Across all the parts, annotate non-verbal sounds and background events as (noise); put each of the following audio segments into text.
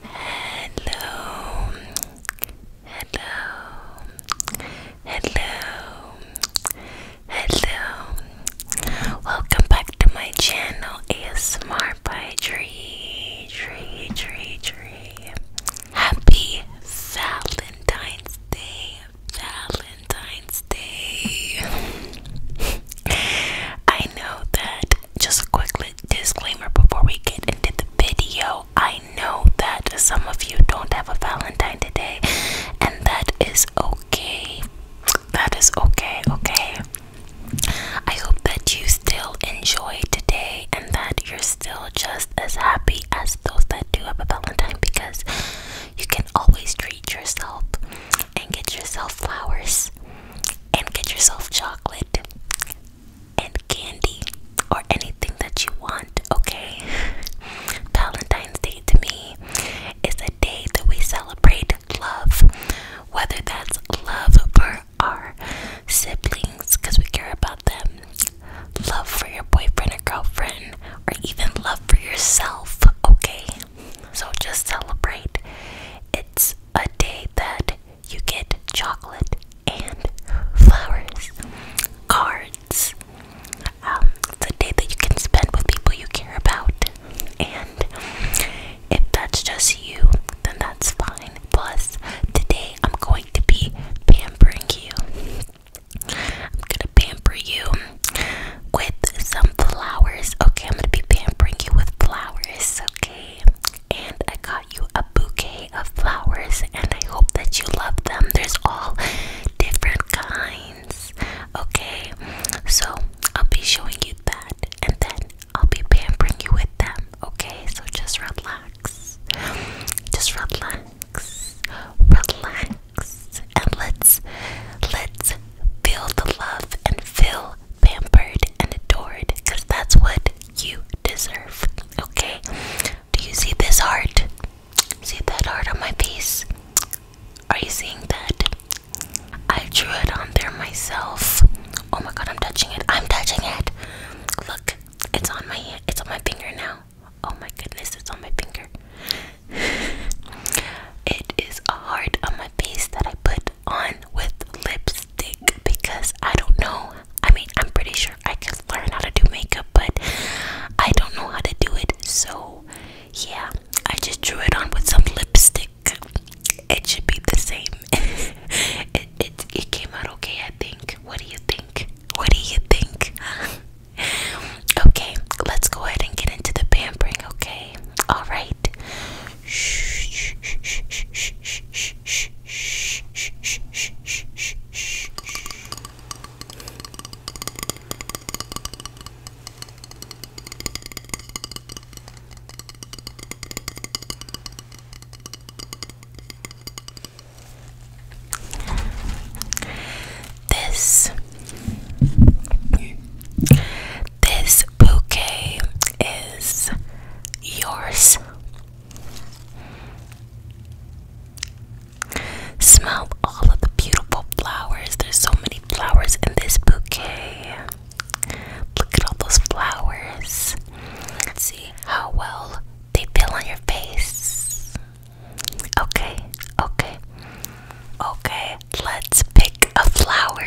Hello, hello, hello, hello. Welcome back to my channel ASMR by Tree, Tree, Tree, Tree. Happy Valentine's Day, Valentine's Day. (laughs) I know that just a quick little disclaimer before we get into the video. I know that some of you don't have a Valentine today, and that is okay. That is okay, okay. I hope that you still enjoy today and that you're still just as happy as those that do have a Valentine because you can always treat yourself and get yourself flowers and get yourself chocolate and candy or anything that you want, okay? (laughs) Valentine's Day to me is a day that we celebrate love, whether that's love for our siblings because we care about them, love for your boyfriend or girlfriend, or even love for yourself, okay? So just celebrate. It's a day that you get chocolate and flowers, cards, it's um, a day that you can spend with people you care about. And if that's just you, then that's fine. Plus, today I'm going to be pampering you. I'm gonna pamper you with some flowers. Okay, I'm gonna be pampering you with flowers, okay? and I got you a bouquet of flowers, and I hope that you love them. There's all different kinds, okay? So I'll be showing you that, and then I'll be pampering you with them, okay? So just relax, just relax, relax, and let's let's feel the love and feel pampered and adored, because that's what you deserve. Okay? Do you see this heart? See that heart on my face? Are you seeing that? I drew it on there myself. Oh my god, I'm touching it. I'm touching it. Look, it's on my It's on my finger now. Oh my goodness, it's on my finger. (sighs) it is a heart on my face that I put on with lipstick because I don't know. I mean, I'm pretty sure I could learn how to do makeup, but I don't know how to do it. So, yeah, I just drew it on with some lipstick. It should be the same. (laughs) it, it it came out okay, I think. What do you think? What do you think? (laughs) okay, let's go ahead and get into the pampering, okay? All right. This this bouquet is yours. Smell all of the beautiful flowers. There's so many flowers in this bouquet. Look at all those flowers. see how well they feel on your face. Okay, okay, okay. Let's pick a flower.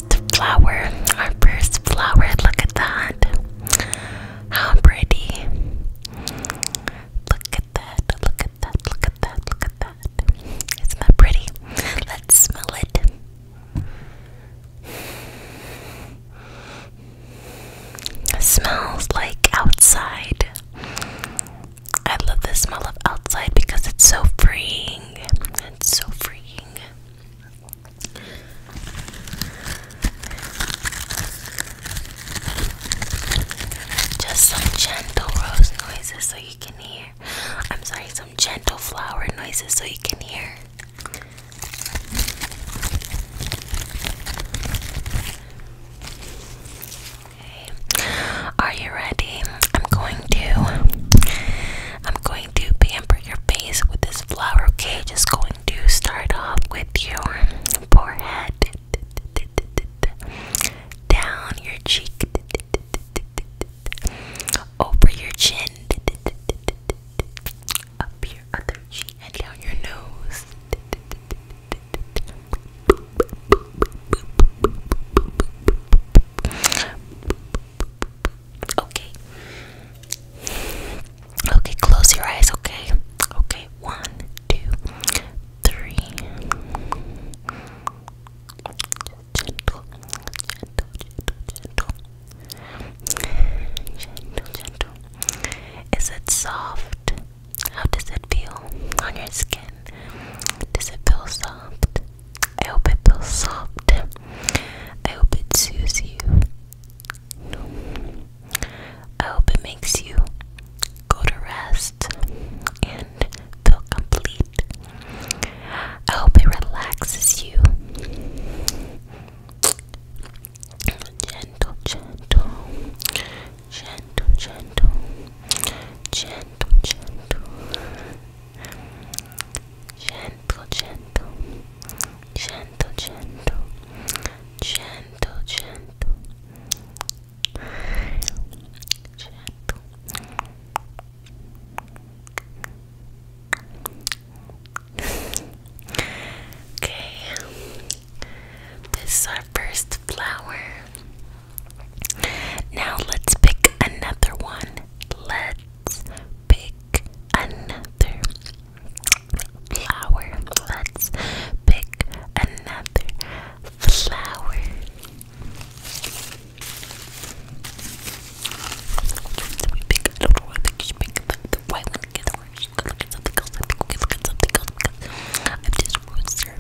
first flower, our first flower. Look at that. How pretty. Look at that. Look at that. Look at that. Look at that. Isn't that pretty? Let's smell it. smells like outside. I love the smell of outside because it's so freeing. It's so freeing. Just some gentle rose noises so you can hear. I'm sorry, some gentle flower noises so you can hear. Okay. Are you ready? I'm going to I'm going to be your face with this flower, okay? Just going to start off with your forehead, down your cheek, over your chin, up your other cheek, and down your nose. Okay. Okay, close your eyes, okay? Okay, one, two, three. Gentle, gentle, gentle, gentle. Gentle, gentle. Is it soft? How does it feel on your skin? Does it feel soft? I hope it feels soft. I hope it soothes you. I hope it makes you go to rest and feel complete. I hope it relaxes you. Gentle, gentle, gentle, gentle, gentle, gentle, gentle, gentle, gentle, gentle, gentle, gentle, okay, this is our first flower. Now let's pick another one. Let's pick another flower. Let's pick another flower. Let me pick, I do I think you should pick the white one together. You should go look something else. I think we can look at something else I'm just rooster.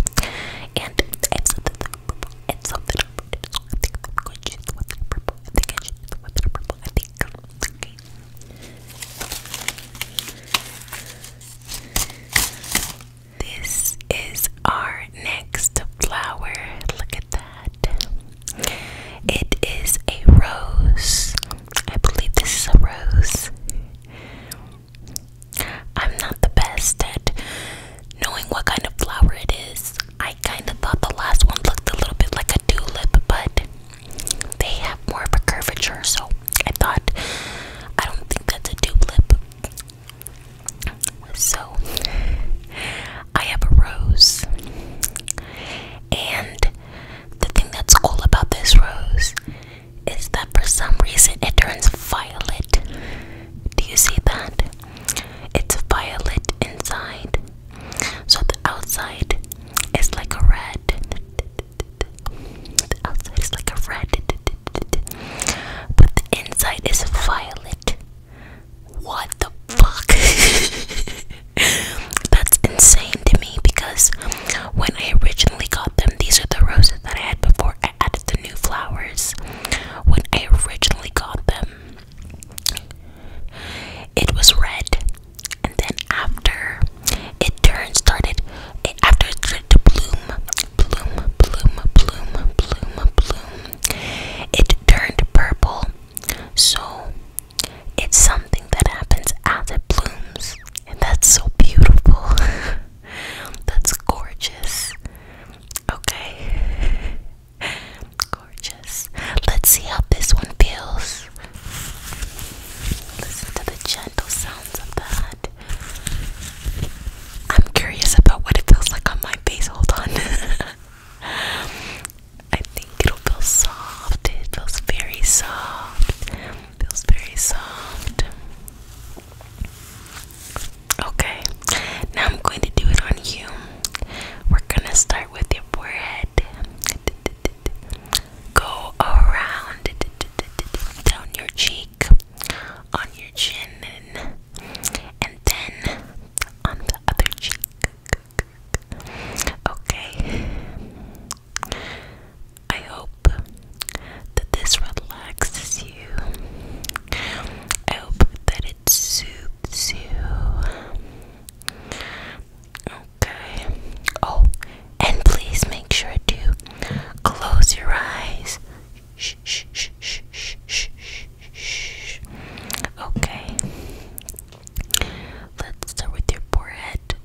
And I have something like purple something I think I'm going to choose one purple. I think I a bit purple, I think. Okay. This is our next flower. Look at that. It is a rose. I believe this is a rose. I'm not the best at knowing what kind of flower it is. I kind of thought the last one looked a little bit like a the tulip, but they have more of a curvature, so I thought I don't think that's a tulip. So I have a rose, and the thing that's cool about this rose is that for some reason it turns violet. Do you see that? It's violet inside so the outside is like a red. The outside is like a red, but the inside is violet. What the fuck? (laughs) That's insane to me because when I originally got them, these are the roses that I had before I added the new flowers. When I originally got them, it was red and then after it turned started it, after it started to bloom bloom bloom bloom bloom bloom it turned purple so it's something that happens as it blooms and that's so beautiful (laughs) that's gorgeous okay (laughs) Gorgeous. Let's see how this one feels. Listen to the gentle sounds of that. I'm curious about what it feels like on my face. Hold on. (laughs) I think it'll feel soft. It feels very soft. feels very soft. Okay. Now I'm going to do it on you. We're gonna start with your forehead. Go around down your cheek, on your chin, and then on the other cheek. Okay. I hope that this relaxes you. I hope that it soothes you. Okay. Oh, and please make sure to close your eyes. Shh, shh, shh, shh, shh, shh, shh. Okay. Let's start with your forehead.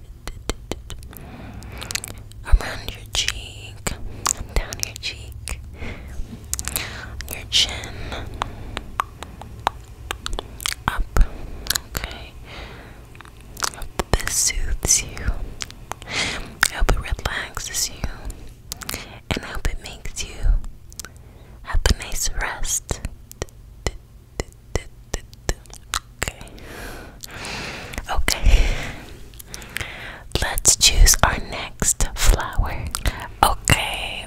Around your cheek, down your cheek, your chin, up, okay? this soothes you. I hope it relaxes you. And I hope it makes you have a nice rest. Okay. Okay. Let's choose our next flower. Okay.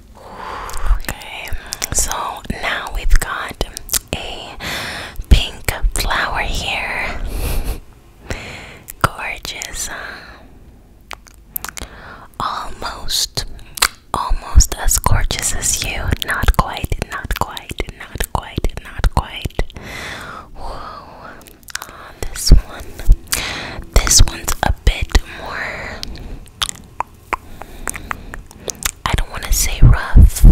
Okay, so now we've got a pink flower here. Gorgeous. Almost, almost as gorgeous as you. Not quite, not quite, not quite, not quite. Whoa. Uh, this one. This one's a bit more I don't want to say rough.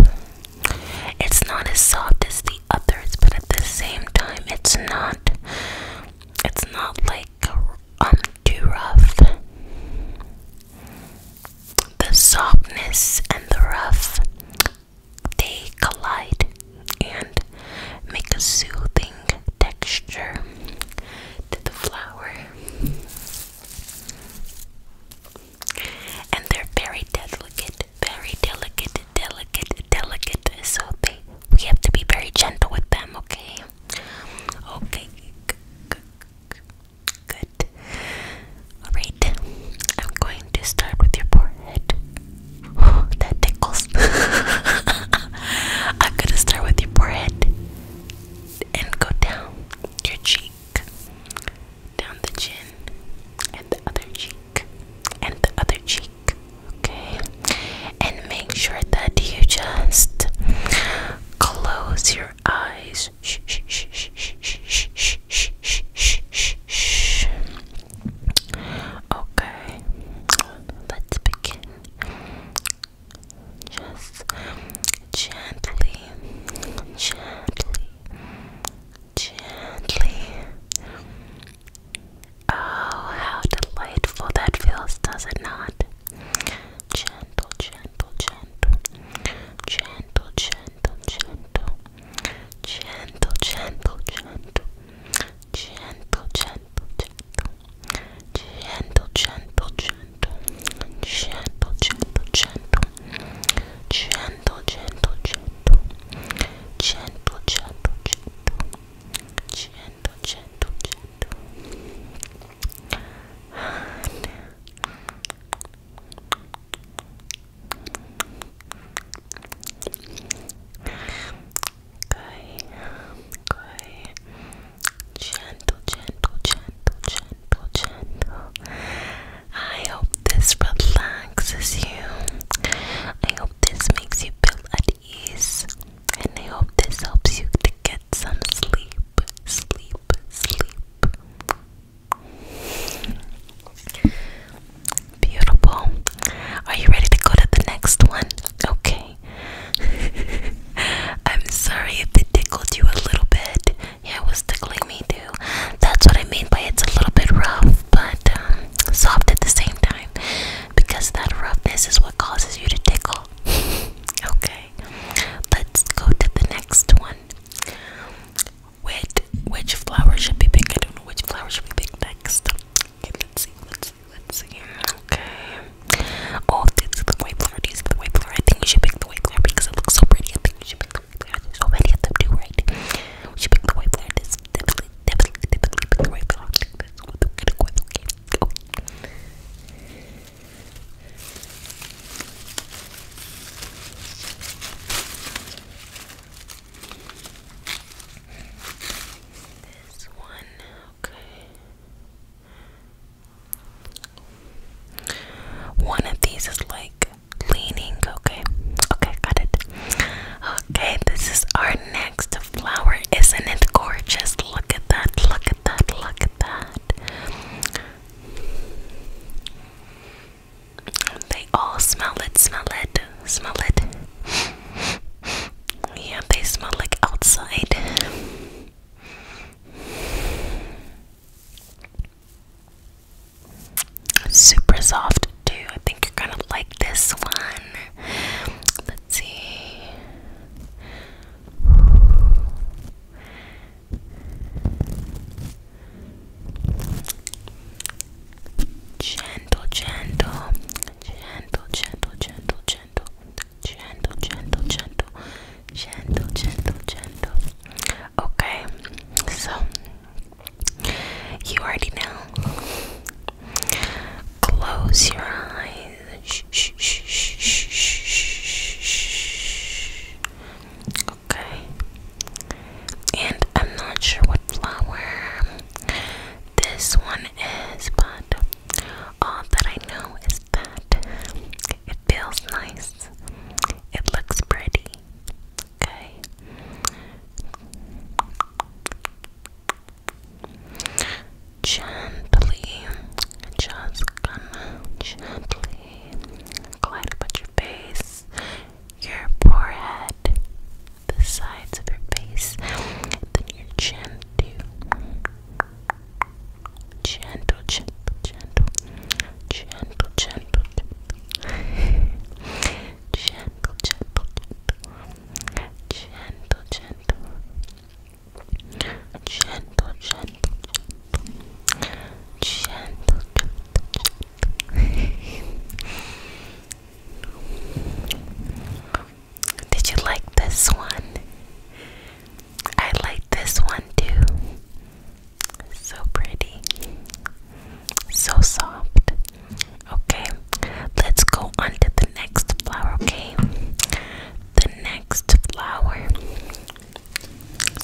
It's not as soft as the others, but at the same time, it's not. It's not like um too rough. The softness and the rough they collide and make a soothing texture to the flower. And they're very delicate, very delicate, delicate, delicate. So they we have to be very gentle with them, okay? Okay. Good. Alright. I'm going to start with your forehead. Oh, (laughs) that tickles. (laughs) I'm gonna start with your forehead and go down your cheek, down the chin, and the other cheek, and the other cheek, okay? And make sure that you just close your eyes. Shh, shh, shh, shh, shh, shh, shh, shh, shh, shh, Okay, let's begin. Just gently, gently, gently. Oh, how delightful that feels, does it not? Gentle, gentle, gentle, gentle, gentle, gentle, gentle, gentle, gentle, gentle, gentle, gentle, gentle, gentle, gentle, gentle, gentle, gentle, gentle, gentle, gentle, gentle, gentle, gentle, gentle, gentle, gentle, gentle. And Coi, coi, gentle, gentle, gentle, gentle, gentle. I hope this relaxes you. I hope this makes you feel at ease. And I hope this helps you to get some sleep. Sleep, sleep. Beautiful. Are you ready to go to the next one? Okay. (laughs) I'm sorry if it tickled you a little bit. Yeah, it was tickling me too. That's what I mean by it's a little bit rough, but um, soft at the same time. Because that roughness is what causes you to tickle. (laughs) okay, let's go to the next one. Which, which flower should we pick? I don't know which flower should we pick next. let's see, let's let's see. Okay. Oh, this is the white flower. This is the white flower. I think we should pick the way. flower because it looks so pretty. I think we should pick the way. flower. so many of them too, right? We should pick the white This This one, one of these is like leaning. Okay. Okay, got it. Okay, this is our next flower. Isn't it gorgeous? Look at that. Look at that. Look at that. They all smell it, smell it, smell it. Yeah, they smell like outside. Super soft too. I think you're gonna like this one. Let's see. Gentle, gentle, gentle, gentle, gentle, gentle, gentle, gentle, gentle, gentle, gentle, gentle, Okay, so you already know. Close your eyes. Okay, and I'm not sure what flower this one is, but all that I know is that it feels nice. It looks pretty. Okay. Gently, just gonna gently glide about your face, your forehead, the sides of your face, then your chin too gentle, gentle, gentle, gentle, gentle, gentle, gentle, gentle, gentle, gentle, gentle, Did you like this one? I like this one too. So pretty. So soft. Okay, let's go on to the next flower, okay? The next flower.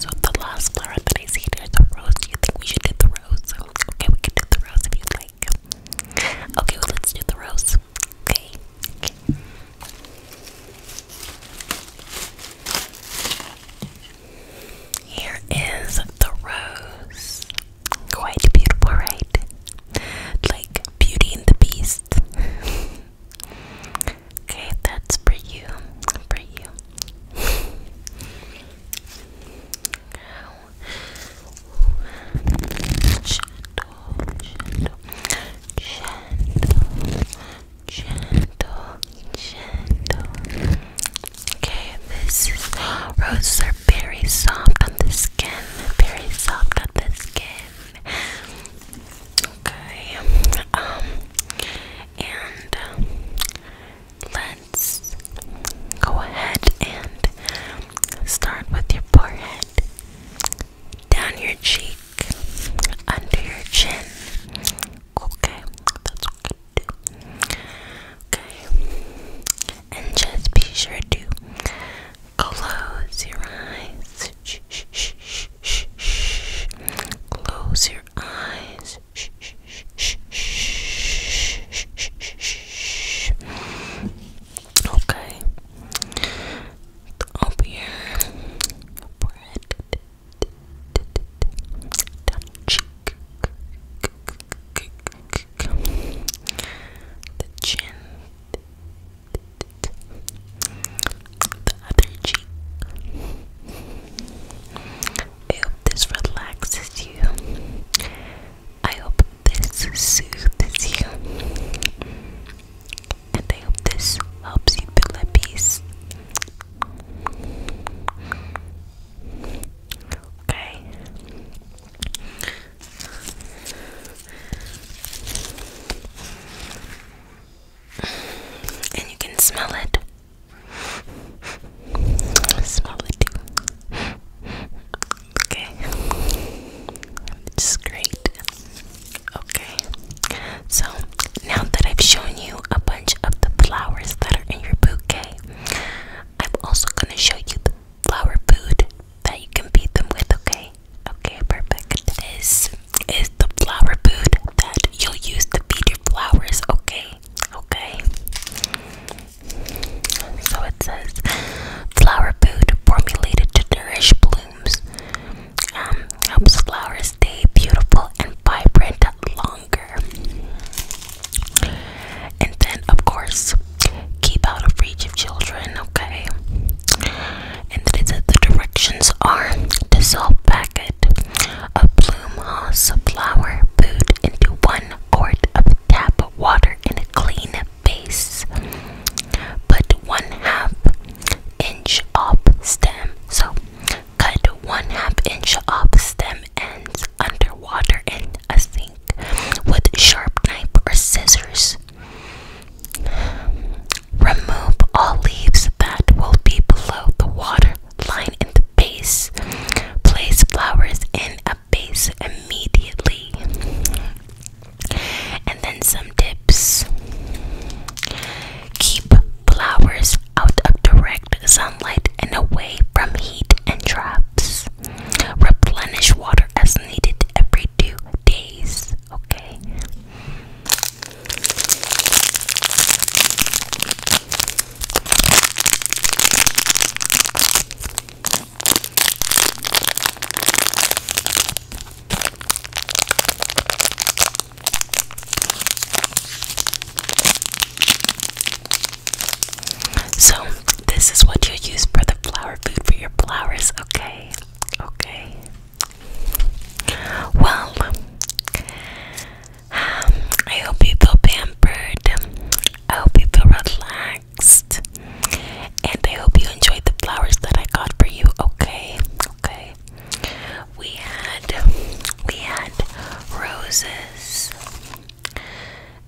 So, the last flower that I see here is a rose. Do you think we should do the rose? Okay, we can do the rose if you like. Okay, let's do the rose. okay. Here is the rose. Quite beautiful, right? Like Beauty and the Beast. (laughs) okay, that's for you. For you gentle, gentle, gentle. Okay, this is, roses are very soft on the skin, very soft on the skin. Okay, um, and um, let's go ahead and start with your forehead down your cheek, under your chin. Okay, that's okay too. Okay, and just be sure to close your eyes. Shh, shh, shh, shh, shh. Close your eyes. Shh, shh, shh, shh, shh, shh, shh. Okay up here bread down cheek the chin the other cheek I hope this relaxes you I hope this soothes you and I hope this helps you feel at peace. Okay. And you can smell it. Smell it too. Okay. It's great. Okay, so now that I've shown you a bunch of the flowers that are in your bouquet, I'm also going to show you the flower food that you can feed them with, okay? Okay, perfect. This is the flower food that you'll use to feed your flowers, okay? Okay. So it says flower food formulated to nourish blooms um, helps flowers stay beautiful and vibrant longer. And then, of course, keep out of reach of children, okay? And then it says the directions are dissolve packet of bloom moss flower food into one quart of tap water in a clean vase, Put one half inch up stem. So cut one half inch up stem ends underwater in a sink with sharp knife or scissors. Remove all leaves that will be below the water line in the base. Place flowers in a base immediately. And then some tips keep flowers out of direct sunlight and away from heat and traps. Replenish water as needed every two days. Okay. So, this is what you use for the flower food for your flowers, okay? Okay. Well, um, I hope you feel pampered. I hope you feel relaxed. And I hope you enjoyed the flowers that I got for you, okay? Okay we had we had roses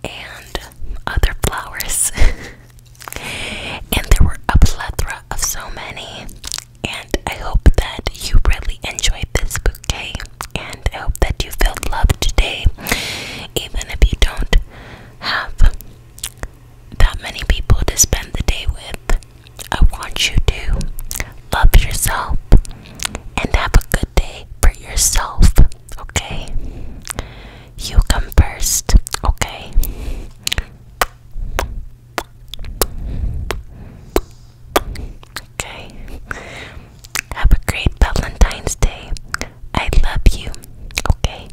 and other flowers (laughs) and there were a plethora of so many and I hope that you really enjoyed this bouquet and I hope that you felt loved today even if you don't have that many people to spend the day with. I want you to love yourself and have a good day for yourself, okay? You come first, okay? Okay. Have a great Valentine's Day. I love you, okay?